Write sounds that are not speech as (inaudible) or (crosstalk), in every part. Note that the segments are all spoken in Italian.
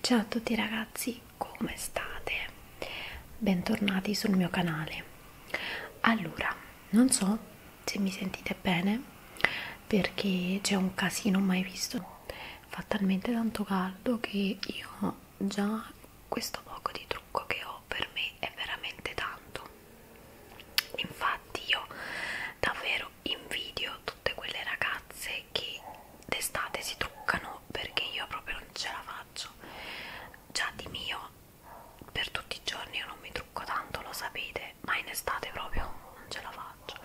Ciao a tutti ragazzi, come state? Bentornati sul mio canale. Allora, non so se mi sentite bene perché c'è un casino mai visto. Fa talmente tanto caldo che io già questo poco di trucco che ho per me è veramente tanto. Infatti io davvero davvero invidio tutte quelle ragazze che d'estate si truccano perché io proprio non ce la faccio già di mio per tutti i giorni io non mi trucco tanto lo sapete ma in estate proprio non ce la faccio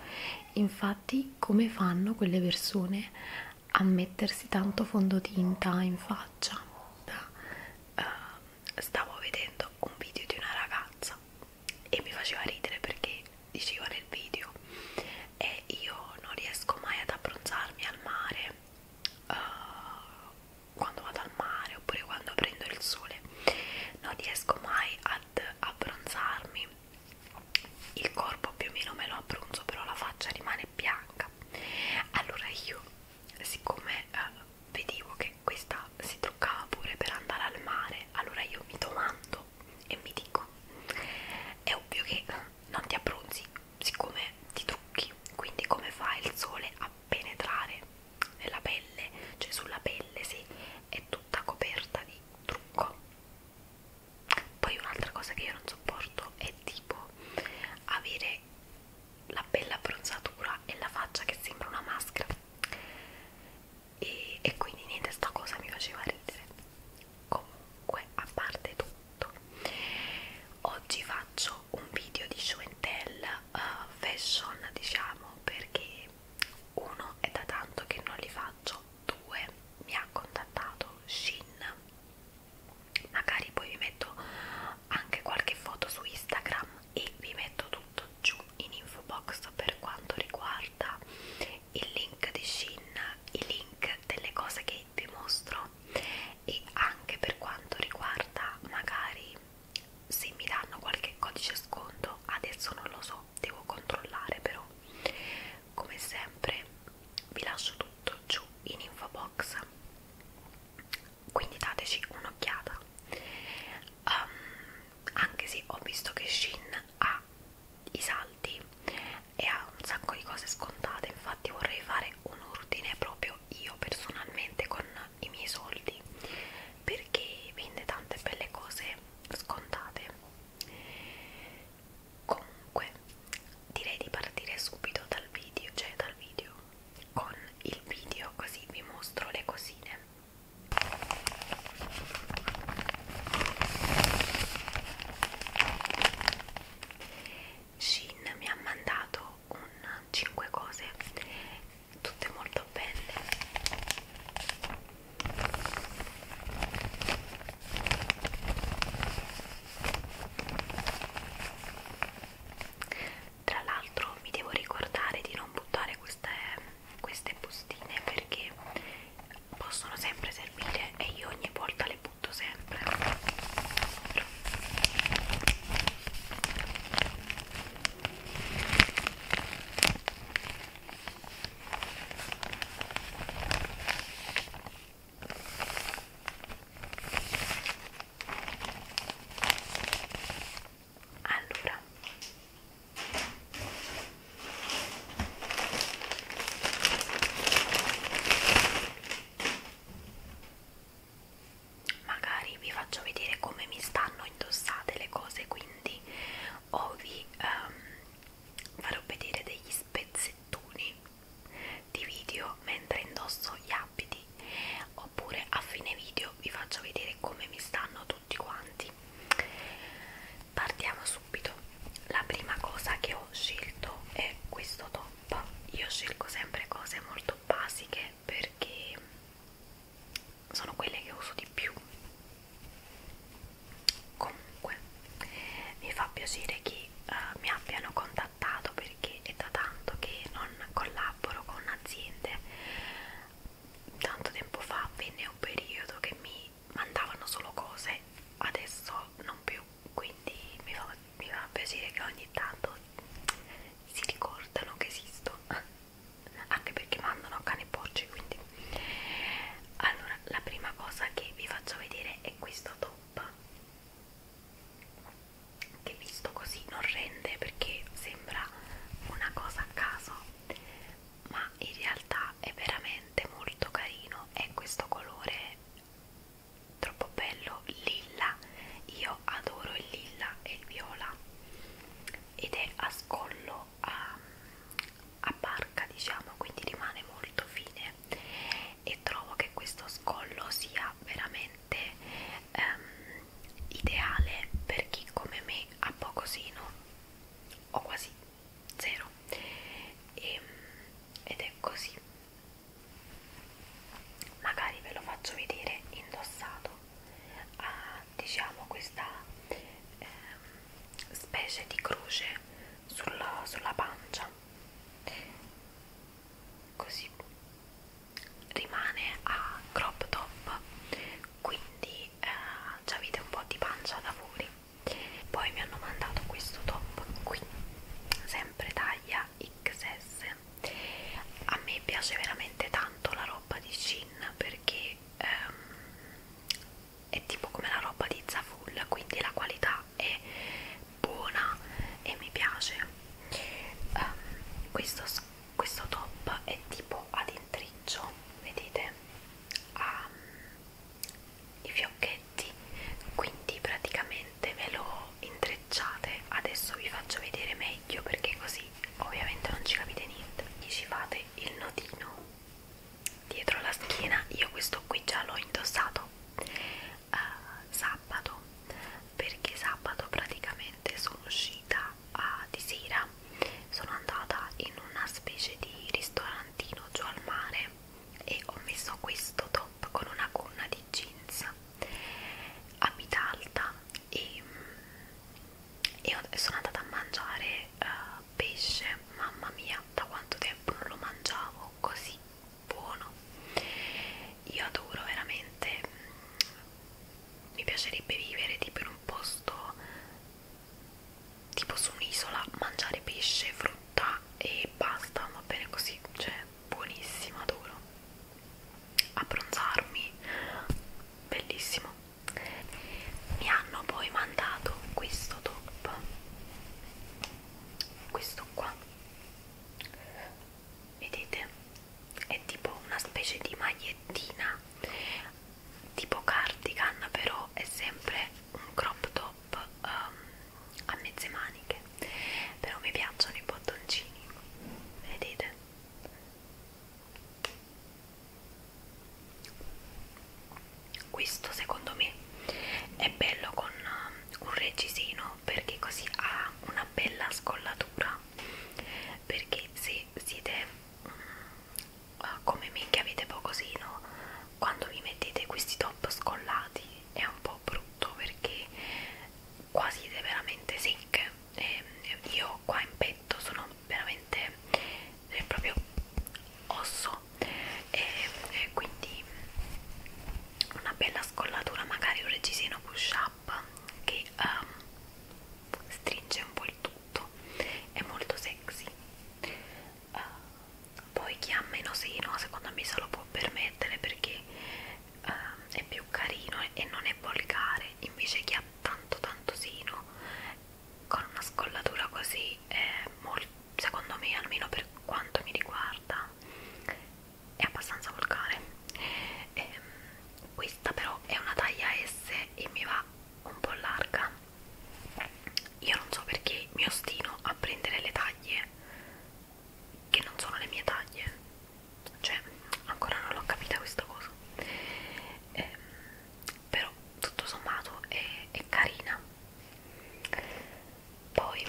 infatti come fanno quelle persone a mettersi tanto fondotinta in faccia da, uh, stavo vedendo un video di una ragazza e mi faceva ridere perché diceva nel video e io non riesco mai ad abbronzarmi al mare uh, quando vado al mare oppure quando prendo il sole non riesco mai ad abbronzarmi il corpo più o meno me lo abbronzo però la faccia rimane bianca allora io siccome uh, eh, vedevo che questa si truccava pure per andare al mare allora io mi domando e mi dico è ovvio che non ti abbronzi siccome ti trucchi quindi come fa il sole a penetrare nella pelle cioè sulla pelle sì è tutta coperta di trucco poi un'altra cosa che io non sopporto è tipo avere la bella abbronzatura e la faccia che sembra una maschera e, e quindi niente sta cosa mi faceva ridere comunque a parte tutto oggi faccio un video di show and tell uh, fashion diciamo perché uno è da tanto che non li faccio due mi ha contattato Shin magari poi vi metto anche qualche foto su Instagram e vi metto tutto giù in info box per quanto riguarda il link di Shin, i link delle cose che vi mostro e anche per quanto riguarda magari se mi danno qualche codice sconto, adesso non lo so, devo controllare però come sempre vi lascio tutto giù in info box quindi dateci un'occhiata um, anche se ho visto che Shin ha i saldi e ha un sacco di cose scontate infatti vorrei fare un ordine proprio io personalmente con i miei soldi perché vende tante belle cose scontate comunque direi di partire subito dal video cioè dal video con il video così vi mostro le cosine Shin mi ha mandato un 5 cose tutte molto belle tra l'altro mi devo ricordare di non buttare queste queste bustine perché possono sempre servire e io ogni volta le butto sempre allora Magari vi faccio vedere come mi stanno indossate le cose, quindi o vi um, farò vedere degli spezzettoni di video mentre indosso gli abiti, oppure a fine video vi faccio vedere come mi stanno tutti tutti quanti partiamo subito la prima cosa che ho scelto è questo top io scelgo sempre cose molto basiche perché sono quelle che uso di più comunque mi fa piacere che uh, mi abbiano contattato perché è da tanto che non collaboro con aziende tanto tempo fa venne un periodo che mi mandavano solo cose, adesso non più, quindi mi fa, mi fa piacere che ogni tanto si ricordano che esisto, (laughs) anche perché mandano a cani e porci, quindi allora la prima cosa che vi faccio vedere è questo top che visto così non rende perché sembra una cosa a caso ma in realtà ma è veramente molto carino è questo colore troppo bello lilla io adoro il lilla e il viola ed è a scollo a, a barca diciamo quindi rimane molto fine e trovo che questo scollo sia veramente um, ideale per chi come me ha poco sino o quasi zero e, ehm, ed è così magari ve lo faccio vedere indossato a diciamo questa eh, specie di croce sulla, sulla pancia così rimane a crop top quindi eh, già avete un po' di pancia da fuori poi mi hanno mandato questo top qui sempre taglia XS a me piace veramente tanto la roba di Chin perché ehm, è tipo come la roba di Zaful quindi la qualità è buona e mi piace um, questo, questo top è tipo ad intriccio vedete ha um, i fiocchetti quindi praticamente ve lo intrecciate adesso vi faccio vedere meglio perché così ovviamente non ci capite niente e ci fate il nodino dietro la schiena io questo qui già l'ho indossato uh, sabato perché sabato praticamente sono uscita uh, di sera sono andata in una specie di ristorantino giù al mare e ho messo questo top con una gonna di jeans a vita alta e, mm, e sono andata a mangiare uh, pesce mamma mia da quanto tempo non lo mangiavo così buono io adoro veramente mm, mi piacerebbe vivere tipo in un posto tipo su un'isola mangiare pesce, frutta e basta, va bene così, cioè buonissima, adoro abbronzarmi, bellissimo mi hanno poi mandato questo top questo qua vedete è tipo una specie di magliettina tipo cardigan però è sempre un crop top um, a mezze maniche però mi piacciono i bottoncini vedete questo secondo me è bello con ehm, un regisino perché così ha una bella scollatura perché se siete mm, uh, come me che avete pocosino quando vi mettete questi top scollati è un po' brutto perché qua siete veramente secche e ehm, io qua in petto sono veramente è proprio osso e, ehm, e quindi una bella scollatura magari un reggiseno push up che um, stringe un po' il tutto è molto sexy uh, poi chi ha meno seno secondo me se lo può permettere perché uh, è più carino e non è volgare invece chi ha tanto tanto seno con una scollatura così è molto secondo me almeno per quanto mi riguarda è abbastanza volgare ehm, questa però è una taglia S e mi va un po' larga io non so perché mi ostino a prendere le taglie che non sono le mie taglie cioè ancora non l'ho capita questa cosa eh, però tutto sommato è, è carina poi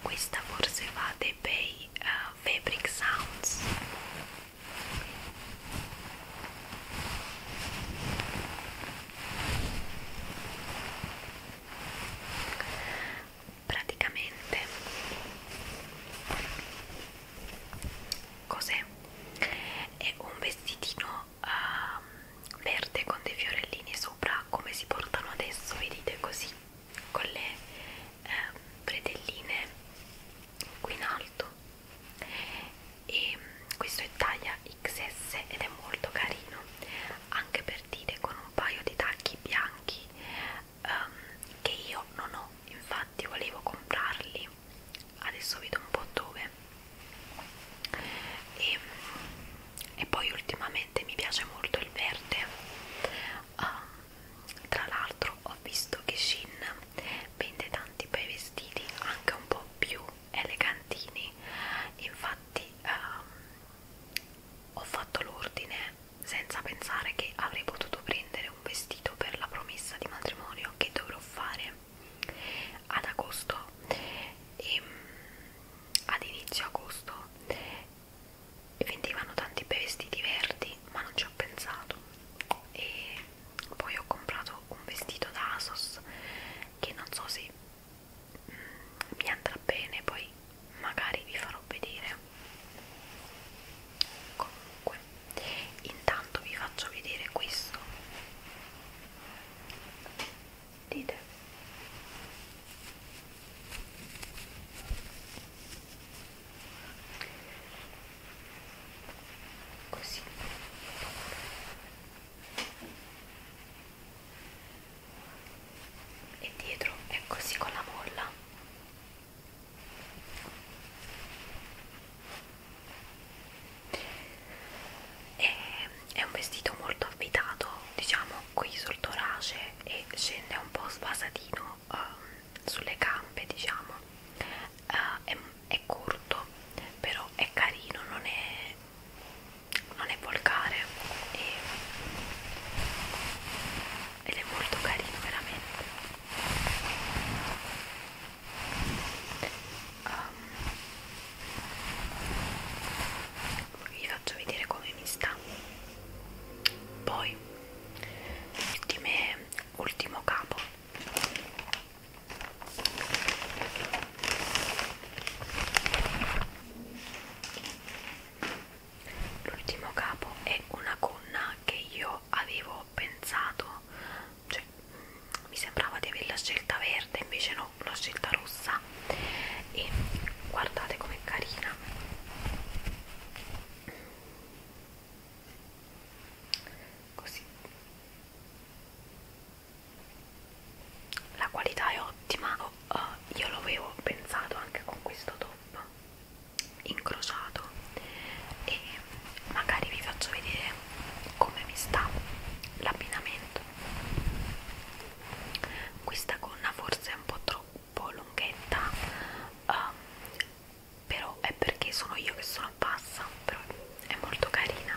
questa forse va dei bei uh, Fabric Sounds praticamente cos'è? È un vestitino uh, verde con dei fiorellini sopra come si portano adesso, vedete così, con le uh, ehm, bretelline qui in alto e questo è taglia XS ed è molto carino anche per dire con un paio di tacchi bianchi um, che io non ho infatti volevo comprarli adesso vedo un po' dove e, e poi ultimamente mi piace molto il verde um, tra l'altro ho visto che Shin vende tanti bei vestiti anche un po' più elegantini infatti um, ho fatto l'ordine senza pensare che avrei potuto prendere un vestito per la promessa di matrimonio che dovrò fare ad agosto e ehm, ad inizio agosto vendevano tanti bei vestiti verdi ma non ci ho pensato e poi ho comprato un vestito da ASOS che non so se mm, mi andrà bene poi magari vi farò vedere comunque intanto vi faccio vedere questo dite così e dietro è così con la molla e è un vestito molto avvitato diciamo qui sul torace e scende un po' svasatino um, ehm, sulle gambe diciamo uh, è, è corto però è carino non è non è volgare e ed è molto carino veramente um, vi faccio vedere come mi sta poi ultime, ultimo capo l'ultimo capo è una gonna che io avevo pensato cioè mi sembrava di averla scelta verde invece no l'ho scelta rossa e guardate com'è carina così la qualità è ottima oh, io l'avevo pensato anche con questo top incrociato e magari vi faccio vedere come mi sta l'abbinamento questa gonna forse è un po' troppo lunghetta um, però è perché sono io che sono bassa però è molto carina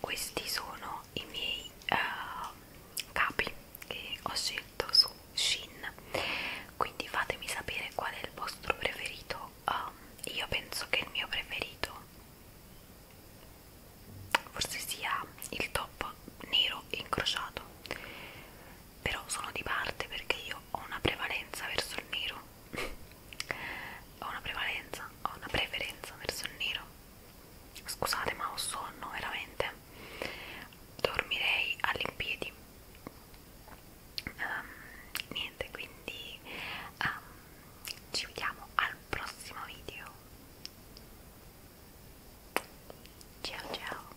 questi sono i miei uh, capi che ho scelto su Shin quindi fatemi sapere qual è il vostro preferito um, io penso che il mio preferito forse sia il top nero incrociato però sono di parte perché io ho una prevalenza verso il nero ho una prevalenza, ho una preferenza verso il nero. Scusate, ma ho sonno veramente. Dormirei all'impiedi. Um, niente, quindi um, ci vediamo al prossimo video. Ciao ciao.